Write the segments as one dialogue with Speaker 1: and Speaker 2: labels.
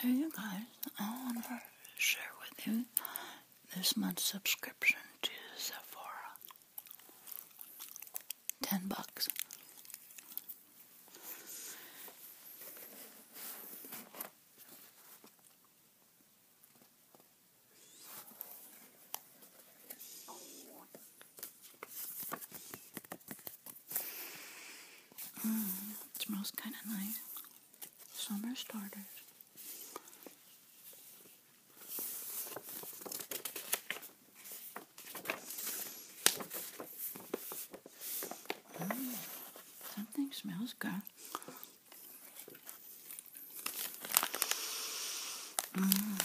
Speaker 1: Hey you guys, I want to share with you this month's subscription to Sephora. Ten bucks. Mm, it smells kind of nice. Summer starters. Mm, something smells good. Mm.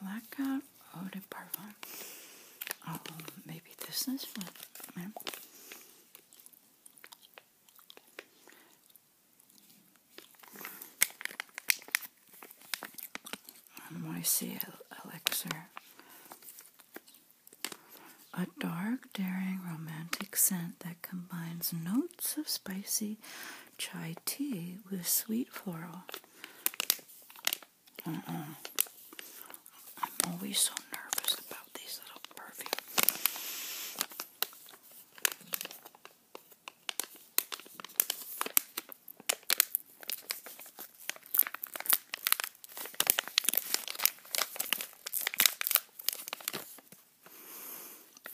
Speaker 1: Blackout Eau de Parfum. Oh, maybe this is one. Moisey Elixir. A dark, daring, romantic scent that combines notes of spicy chai tea with sweet floral. I'm always so nervous about these little perfumes.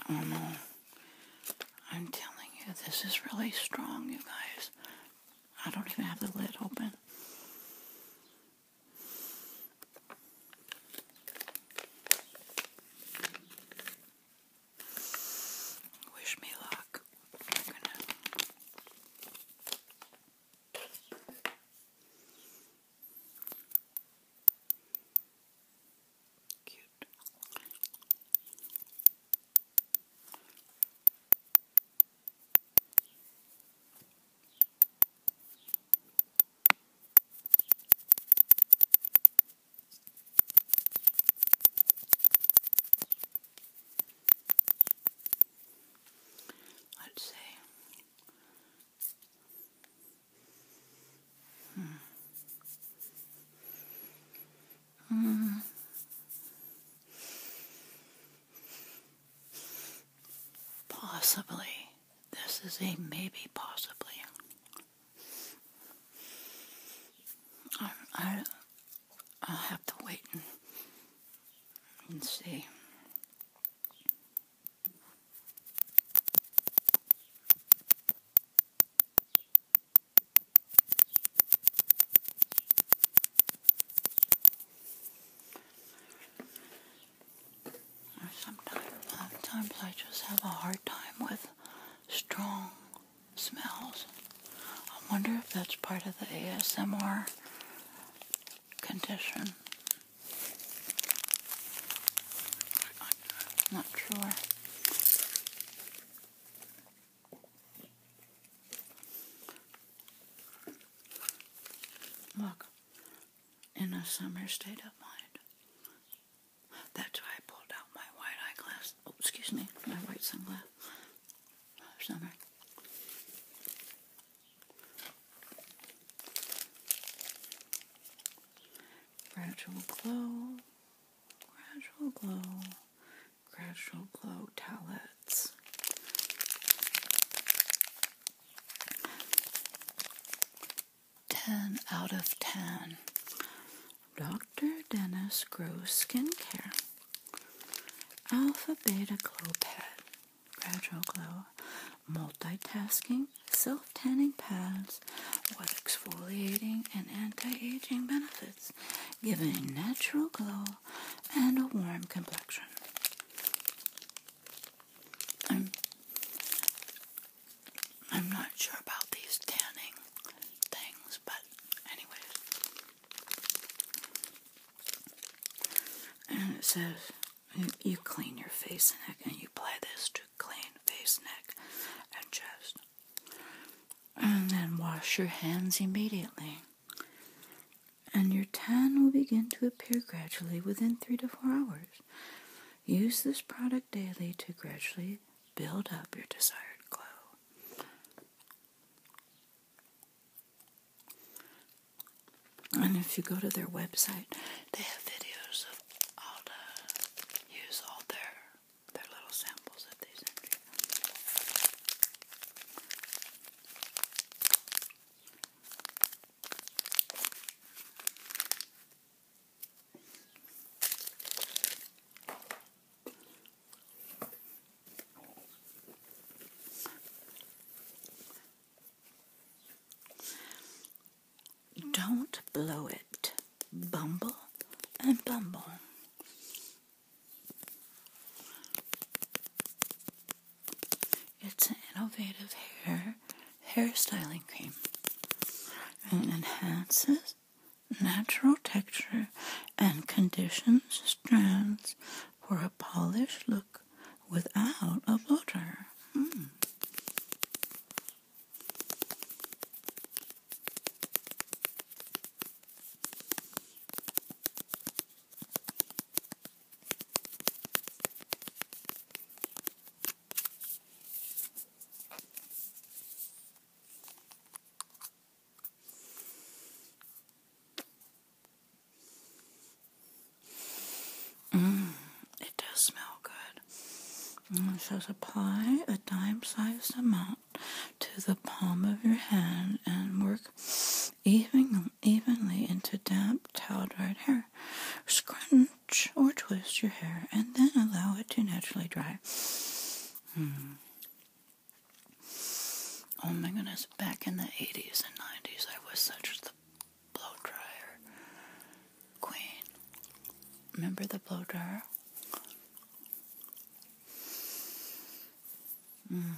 Speaker 1: Um, I'm telling you, this is really strong, you guys. I don't even have the lid open. Wish me luck. Cute. Let's see. Mm. Possibly. This is a maybe, possibly. I, I, I'll have to wait and see. Sometimes, sometimes I just have a hard time with strong smells. I wonder if that's part of the ASMR condition not sure. Look, in a summer state of mind. That's why I pulled out my white eyeglass. Oh, excuse me, my white sunglass. Summer. Gradual glow, gradual glow, gradual glow towelettes. Ten out of ten. Dr. Dennis Gross Skincare. Alpha Beta Glow Pad gradual glow, multitasking, self-tanning pads with exfoliating and anti-aging benefits, giving natural glow and a warm complexion. I'm, I'm not sure about these tanning things, but anyway. And it says you clean your face and neck, and you apply this to clean face, neck, and chest. And then wash your hands immediately. And your tan will begin to appear gradually within three to four hours. Use this product daily to gradually build up your desired glow. And if you go to their website, they have videos of all the use all their their little samples that they send you. Don't blow it. Bumble and bumble. It's an innovative hair styling cream and enhances natural texture and conditions strands for a polished look without a blow Mm, it does smell good. Just mm, apply a dime sized amount to the palm of your hand and work even, evenly into damp, towel dried hair. Scrunch or twist your hair and then allow it to naturally dry. Hmm. Oh my goodness, back in the 80s and 90s, I was such the blow dryer queen. Remember the blow dryer? Mm.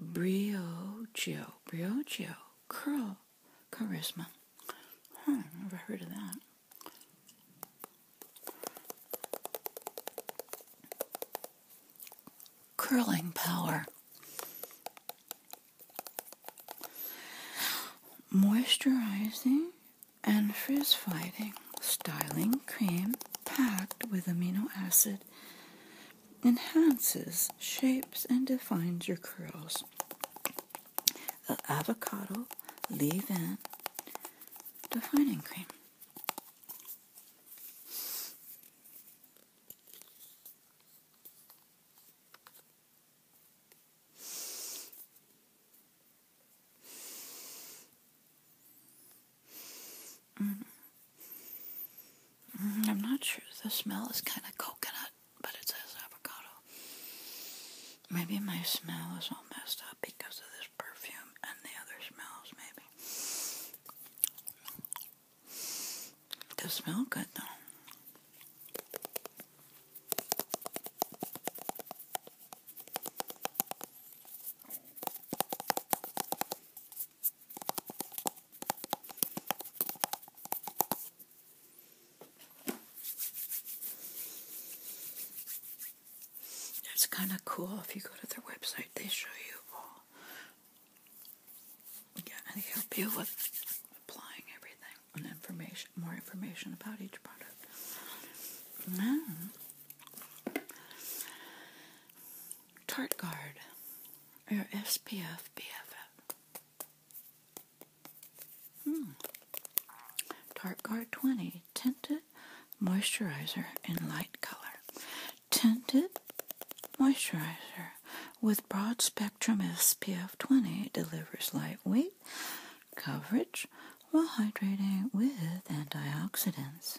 Speaker 1: Briocho, briocho, curl, charisma. Huh, never heard of that. Curling power. Moisturizing and frizz fighting. Styling cream packed with amino acid enhances, shapes, and defines your curls. avocado leave in defining cream. Mm. Mm, I'm not sure. The smell is kind of coconut, but it says avocado. Maybe my smell is all messed up because of this perfume and the other smells, maybe. It does smell good, though. It's kind of cool if you go to their website, they show you all. Yeah, and they help you with applying everything and information, more information about each product. Mm. Tart Guard or SPF BFF. Hmm. Tarte Guard 20 Tinted Moisturizer in Light Color. Tinted Moisturizer with broad spectrum SPF 20 delivers lightweight coverage while hydrating with antioxidants.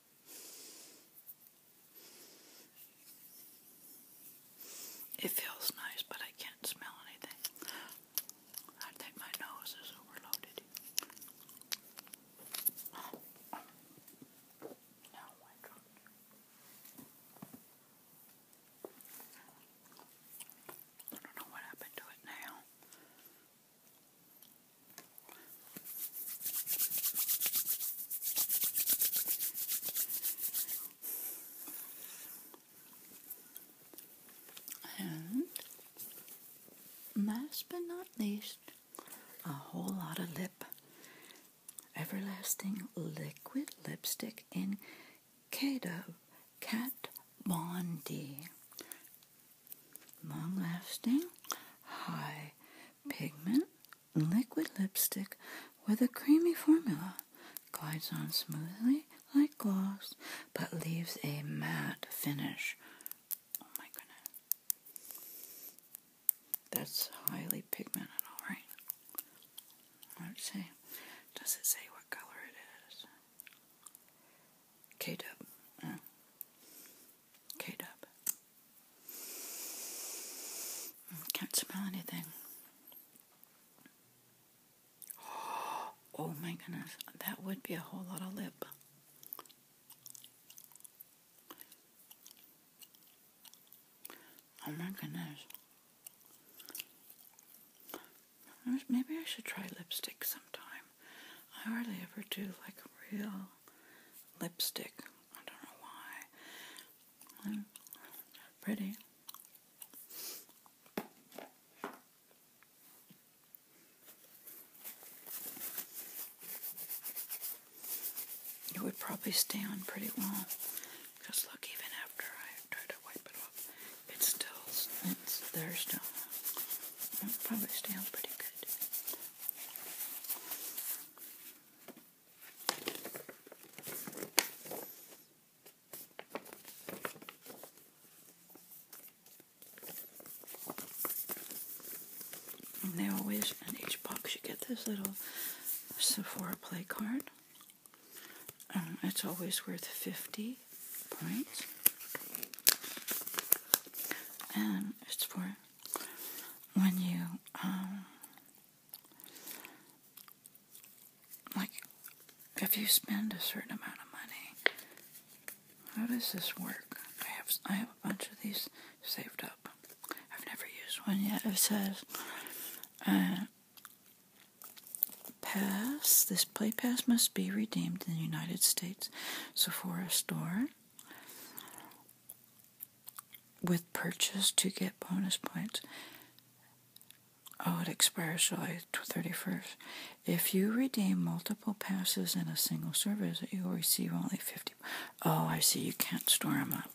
Speaker 1: It feels nice, but I can't smell anything. I think my nose is overloaded. Now oh my God. I don't know what happened to it now. And last but not least, a whole lot of lip. Everlasting Liquid Lipstick in Kato Kat Bondi. Long lasting, high Pigment liquid lipstick with a creamy formula. Glides on smoothly like gloss, but leaves a matte finish. Oh my goodness. That's highly pigmented, alright. Let's see. Does it say what color it is? K-Dub. Hmm. K-Dub. Can't smell anything. Oh my goodness, that would be a whole lot of lip. Oh my goodness. Maybe I should try lipstick sometime. I hardly ever do like real lipstick. I don't know why. Mm. Pretty. It would probably stay on pretty well. Because look, even after I tried to wipe it off, it's still, it's there still. It probably stay on pretty good. And they always, in each box, you get this little Sephora play card. Um, it's always worth 50 price and it's for when you um like if you spend a certain amount of money how does this work I have I have a bunch of these saved up I've never used one yet it says uh, pass this play pass must be redeemed in the United States States Sephora store with purchase to get bonus points. Oh, it expires July 31st. If you redeem multiple passes in a single service, you will receive only 50. Oh, I see. You can't store them up.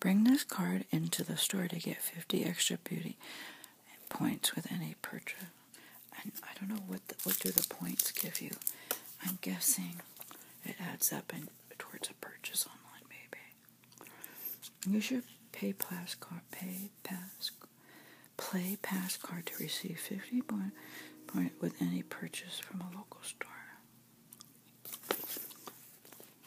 Speaker 1: Bring this card into the store to get 50 extra beauty points with any purchase. And I don't know what what do the points give you. I'm guessing it adds up towards a purchase online, maybe. Use your PayPass card, PayPass, Play Pass card to receive 50 point, point with any purchase from a local store.